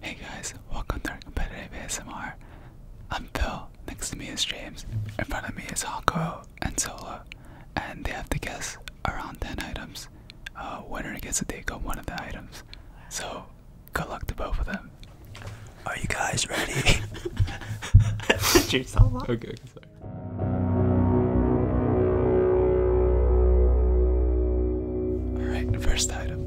Hey guys, welcome to our competitive ASMR. I'm Phil, next to me is James, in front of me is Hako and Solo, and they have to guess around 10 items. Uh, winner gets to take on one of the items. So, good luck to both of them. Are you guys ready? Okay, Alright, first item.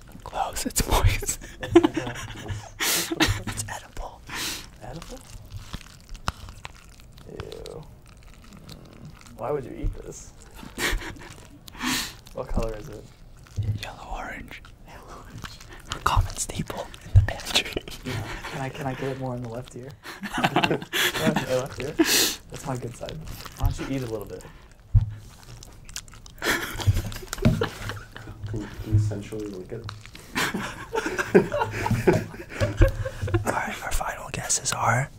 Close. It's moist. it's edible. Hmm. Why would you eat this? what color is it? Yellow orange. common staple in the pantry. Can I can I get it more on the left ear? left ear. That's my good side. Why don't you eat a little bit? can, can you lick it? Alright, our final guesses are.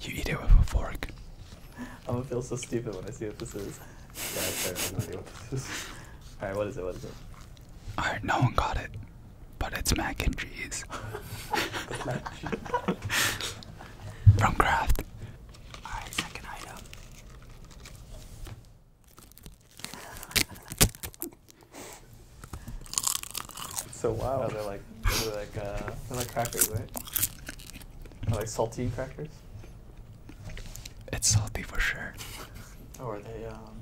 You eat it with a fork. I'm gonna feel so stupid when I see what this is. what this is. Alright, what is it? What is it? Alright, no one got it. But it's mac and cheese. From Kraft. Alright, second item. so wild. are they're like? they like uh, they're like crackers, right? They're like salty crackers. It's salty for sure. Oh, are they um?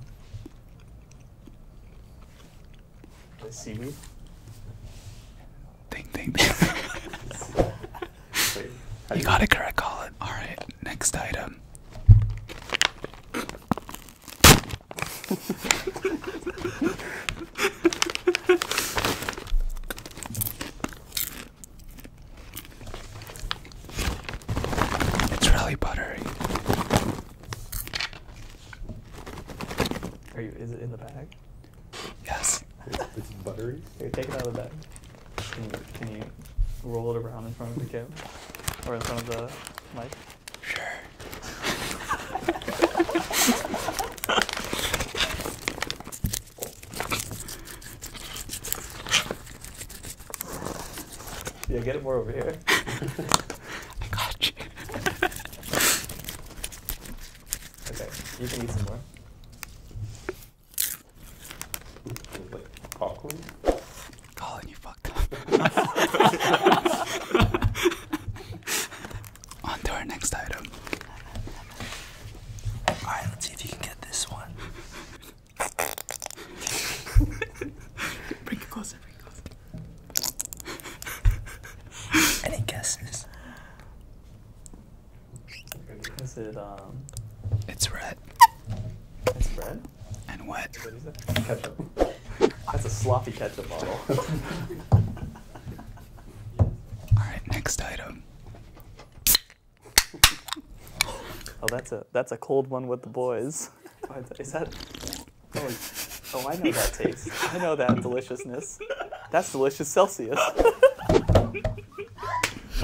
Are they seaweed? you got it correct, Call it. All right, next item. it's really buttery. Are you? Is it in the bag? Yes. It's buttery. Can you take it out of the bag. Can you, can you roll it around in front of the camera? Or in front of the mic? Sure. yeah, get it more over here. I got you. Okay, you can eat some more. Like popcorn? Colin, you fucked up. On to our next item. Alright, let's see if you can get this one. bring it closer, bring it closer. Any guesses? Um, it's red. It's red. And wet. What is it? Ketchup. That's a sloppy ketchup bottle. All right, next item. Oh, that's a that's a cold one with the boys. is that? Oh, oh, I know that taste. I know that deliciousness. That's delicious Celsius. oh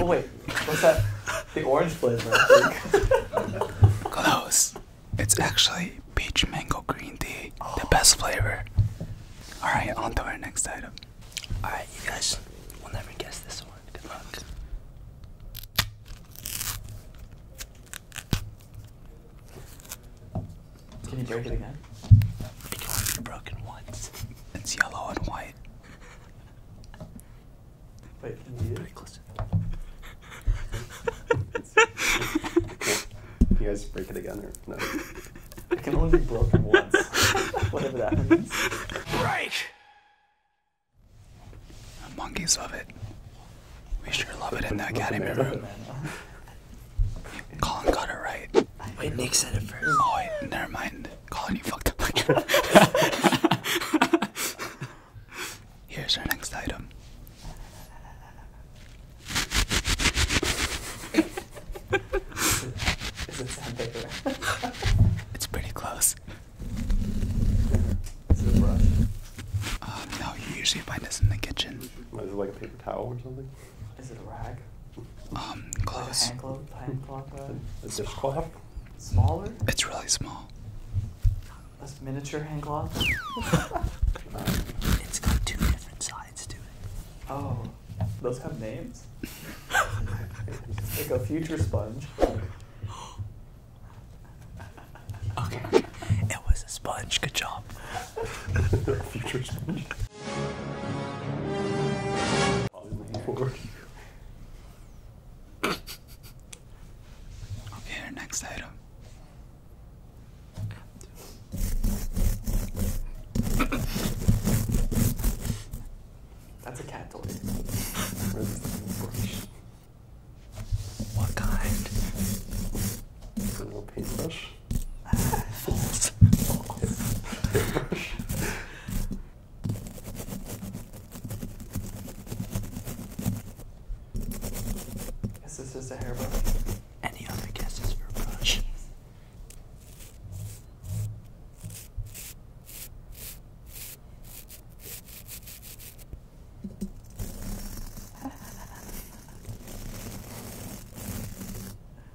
wait, what's that? The orange flavor. Close. It's actually peach mango green tea, the best flavor. All right, on to our next item. All right, you guys will never guess this one. Good luck. Can you break it again? It can only be broken once. It's yellow and white. Wait, can you Pretty close. can you guys break it again or no? It can only be broken once. Whatever that means. Break! Monkeys love it. We sure love it in the academy room. Colin got it right. Wait, Nick said it first. Mm. Oh, wait, never mind. Colin, you fucked up. Here's our next item. Is it sound bigger? it's pretty close. Is a brush? Uh, no, usually find this in the kitchen. Is it like a paper towel or something? Is it a rag? Um, close. a hand glove, hand glove rag? Smaller? It's really small. A miniature hand glove? it's got two different sides to it. Oh, those have names? like a future sponge. Okay. It was a sponge. Good job. Okay, next item. That's a cat toy. what kind? little paintbrush. False. Guess this is a hairbrush. Any other guesses for brush?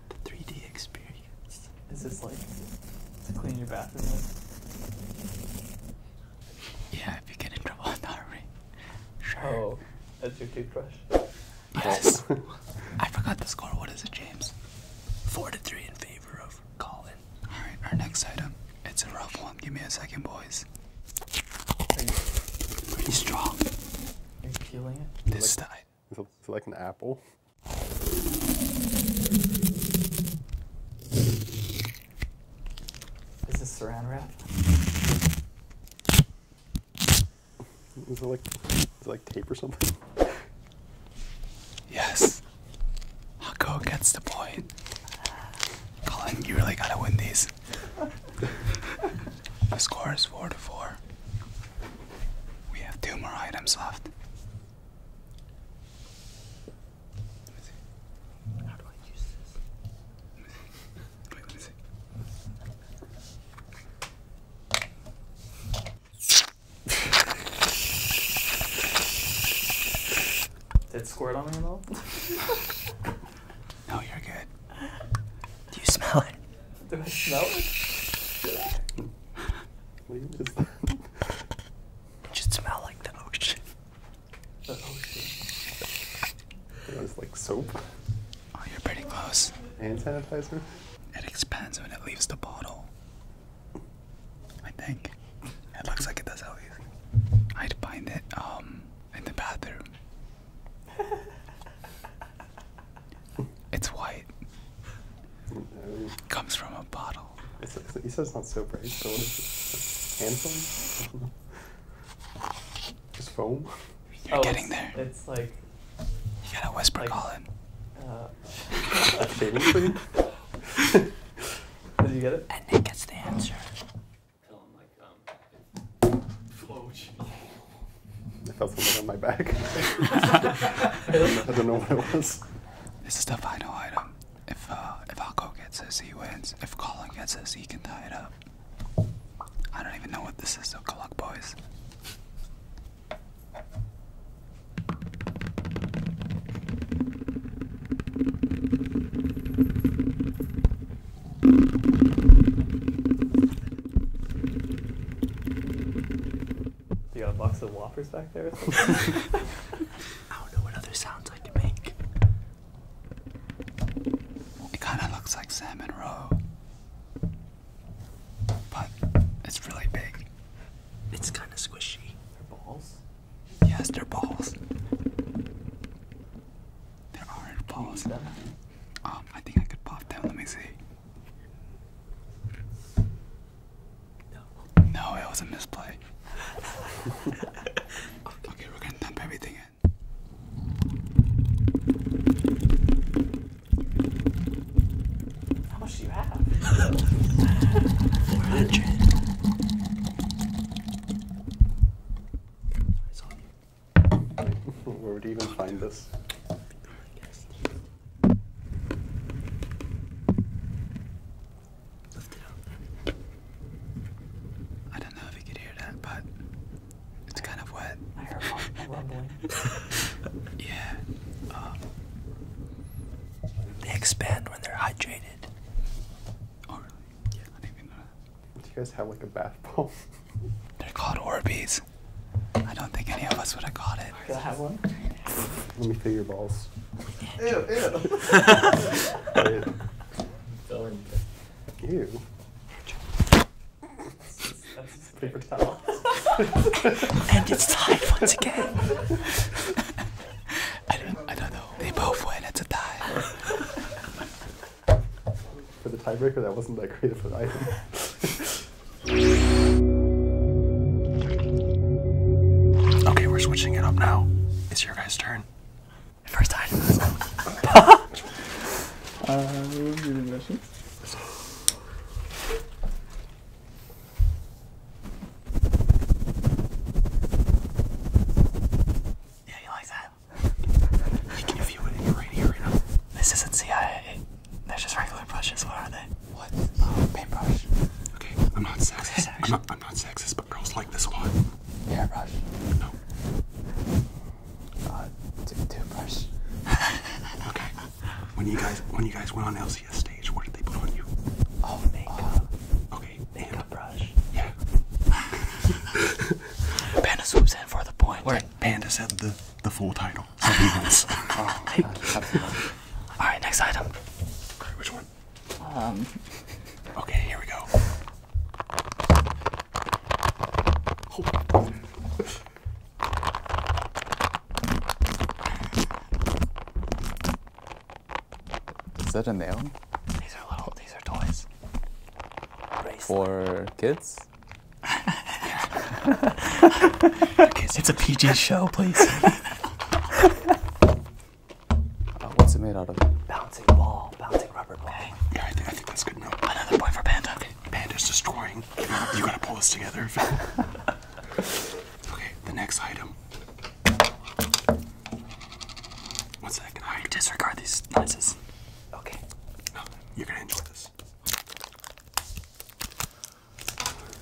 the 3D experience. Is this like to clean your bathroom with? Yeah, if you get in trouble in the army. Sure. Oh, that's your toothbrush? Yes. I forgot the score. What is it, James? Four to three in favor of Colin. Alright, our next item. It's a rough one. Give me a second, boys. Pretty strong. Are you feeling it? This time. Is it, is it like an apple? Is this saran wrap? Is it like is it like tape or something? Yes. i gets the point. Colin, you really gotta win these. the score is four to four. We have two more items left. Did it squirt on me at all? no, you're good. Do you smell it? Do I smell it? What is that? It should smell like the ocean. The ocean. It was like soap. Oh, you're pretty close. Hand sanitizer? It expands when it leaves the bottle. I think. It looks like it does at least. I'd find it um in the bathroom. It's white. No. Comes from a bottle. It's, it's, he says not soap, right? So what is it? Hand foam? Just foam? You're oh, getting it's, there. It's like. You gotta whisper, like, Colin. Uh, Seriously? Did you get it? And Nick gets the answer. Tell him like um, flow. I felt something on my back. I don't know what it was. This is the final item. If uh, if Alco gets this, he wins. If Colin gets this, he can tie it up. I don't even know what this is, so good luck, boys. You got a box of whoppers back there I don't know what other sounds I can make. It kind of looks like salmon roe, but it's really big. It's kind of squishy. They're balls? Yes, they're balls. There aren't balls. Um, I think I could pop them. Let me see. No. it was a misplay. okay, we're gonna dump everything in. How much do you have? 400. I saw you. Where would you even find this? I don't know if you could hear that, but it's kind of wet. yeah. Um, they expand when they're hydrated. Oh, Do you guys have like a bath bomb? They're called Orbeez. I don't think any of us would have caught it. Can I have one? Let me feel your balls. Ew, ew. ew. ew. That's paper towel. and it's tied once again. I don't, I don't know. They both win. It's a tie for the tiebreaker. That wasn't that creative an item. okay, we're switching it up now. It's your guys' turn. First item. uh, Yeah, you like that? you can it in your right ear This isn't CIA. They're just regular brushes. What are they? What? Oh, paintbrush. Okay, I'm not sexist. I'm not, sexist, but girls like this one. Yeah, Hairbrush. No. Uh, toothbrush. okay. When you guys when you guys went on LCS stage, what did they put on you? Oh, makeup. Uh, okay. Makeup brush. Yeah. Panda swoops in for the point. we Panda said the the full title. Oh, All right, next item. which one? Um. Okay, here we go. Is that a nail? These are little. These are toys. For kids it's a PG show, please. Uh, what's it made out of? Bouncing ball, bouncing rubber ball. Yeah, I think, that's good enough. Another point for Panda. Panda's destroying. you gotta pull this together. okay, the next item. One second. I disregard these noises. Okay. Oh, you're gonna enjoy this.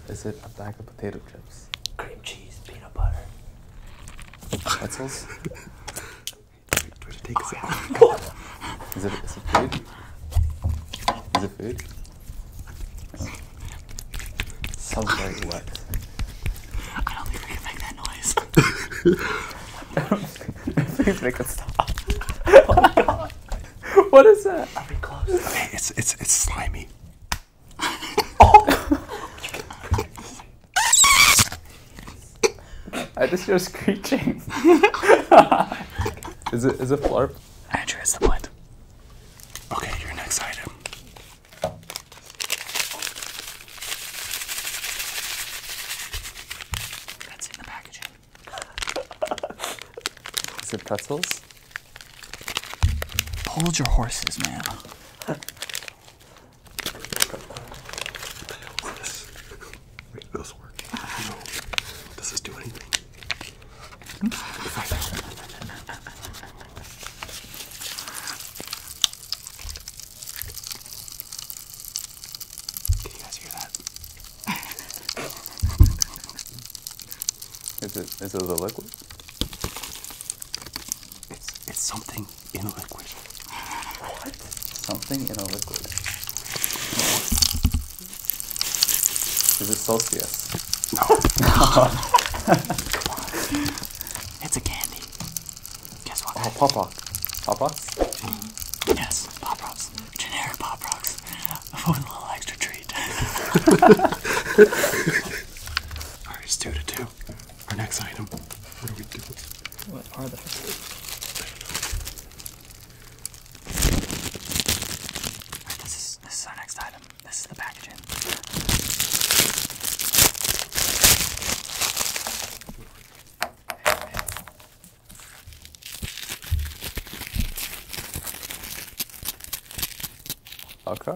Is it a bag of potato chips? Cream cheese, peanut butter. Pretzels? is, it, is it food? Is it food? Sounds very wet. I don't think we can make that noise. I don't stop. Oh what is that? I'll close. Okay, it's it's it's slimy. I just hear screeching. is it is it flarp? Andrew, it's the point. Okay, your next item. That's in the packaging. Is it pretzels? Hold your horses, man. Wait, those work. Does this do anything? Can you guys hear that? is it is it a liquid? It's it's something in a liquid. What? Something in a liquid. Is it Celsius? No. Come on. It's a candy. Guess what? Oh, Pop Rocks. Pop Rocks? Yes, Pop Rocks generic pop rocks with a little extra treat. All right, two to two. Our next item. What are we doing? What are those? this is our next item. This is the packaging. Okay.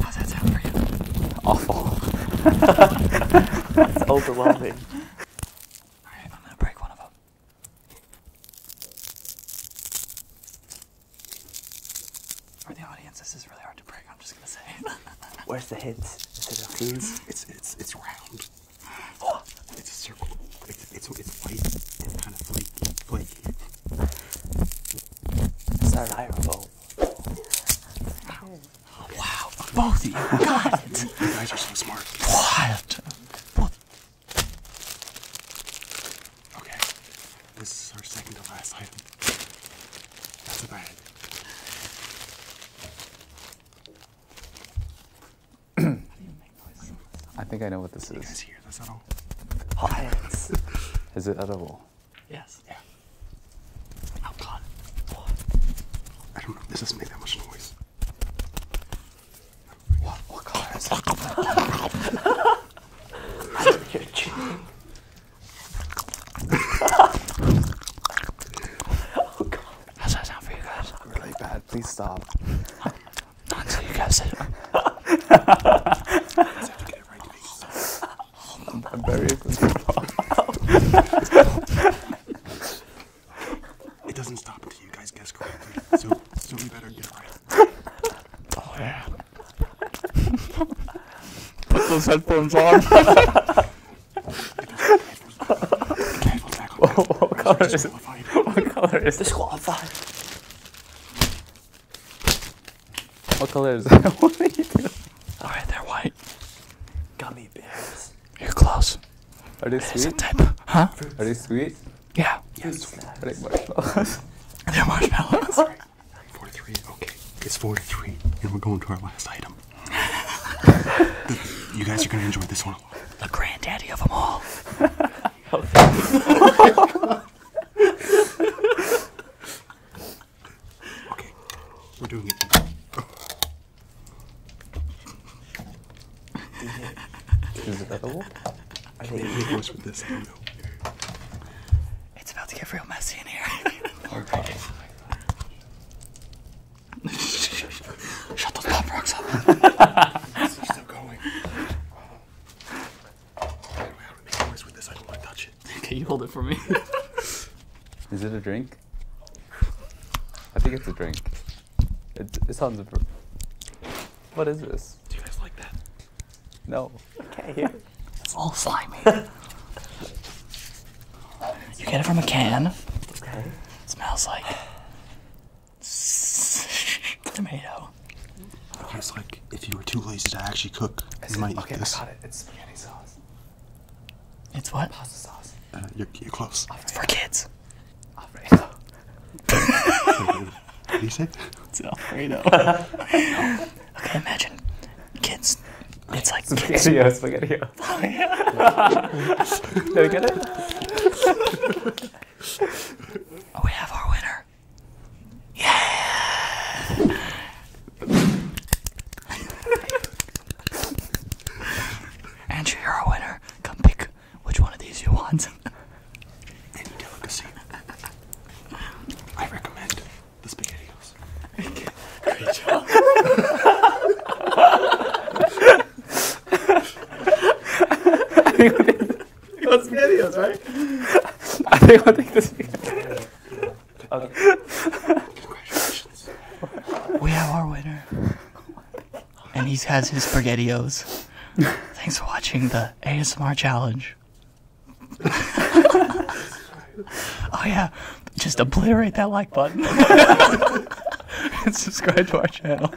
How's that sound for you? Awful. That's overwhelming. Alright, I'm gonna break one of them. For the audience, this is really hard to break. I'm just gonna say. Where's the hint? It's it's it's round. it's a circle. It's it's it's white and kind of flaky, flaky. It's not hireable. Wow, both of you got it. You guys are so smart. What? What? Okay, this is our second to last item. That's a bag. I think I know what this is. Is it edible? Yes. Oh god. I don't know. This doesn't make that much noise. What, what color is that? You're Really bad. Please stop. Not, not you guys it doesn't stop. Did you guys guess correctly? so, so we better get it right. Oh yeah. Put those headphones on. What color is it? What color is disqualified? What color is it? what are you doing? All right, they're white. Gummy bears. You're close. Are they sweet? Type. Huh? Are they sweet? Yeah. Yes. Are they marshmallows? They're marshmallows. Four to three. Okay. It's four to three, and we're going to our last item. you guys are gonna enjoy this one The granddaddy of them all. okay. We're doing it. Oh. Is it edible? I think it worse with this. It's about to get real messy in here. Shut those pop rocks up. It's still going. With this. I don't want to touch it. Okay, you hold it for me. Is it a drink? I think it's a drink. It, it sounds. What is this? Do you guys like that? No. Okay, here. It's all slimy. you get it from a can. Okay. smells like tomato. It's like if you were too lazy to actually cook, you might okay, eat this. I got it. It's spaghetti sauce. It's what? Pasta sauce. Uh, you're, you're close. for kids. Alfredo. what do you say? It's Alfredo. okay, imagine kids. It's like Spaghetti, Oh, yeah. Did we get it? Oh, we have our winner. Yeah. Andrew, you're a winner. Come pick which one of these you want. Any delicacy. I recommend the spaghettios. Great job. We have our winner. and he has his spaghettios. Thanks for watching the ASMR challenge. oh yeah, just obliterate that like button and subscribe to our channel.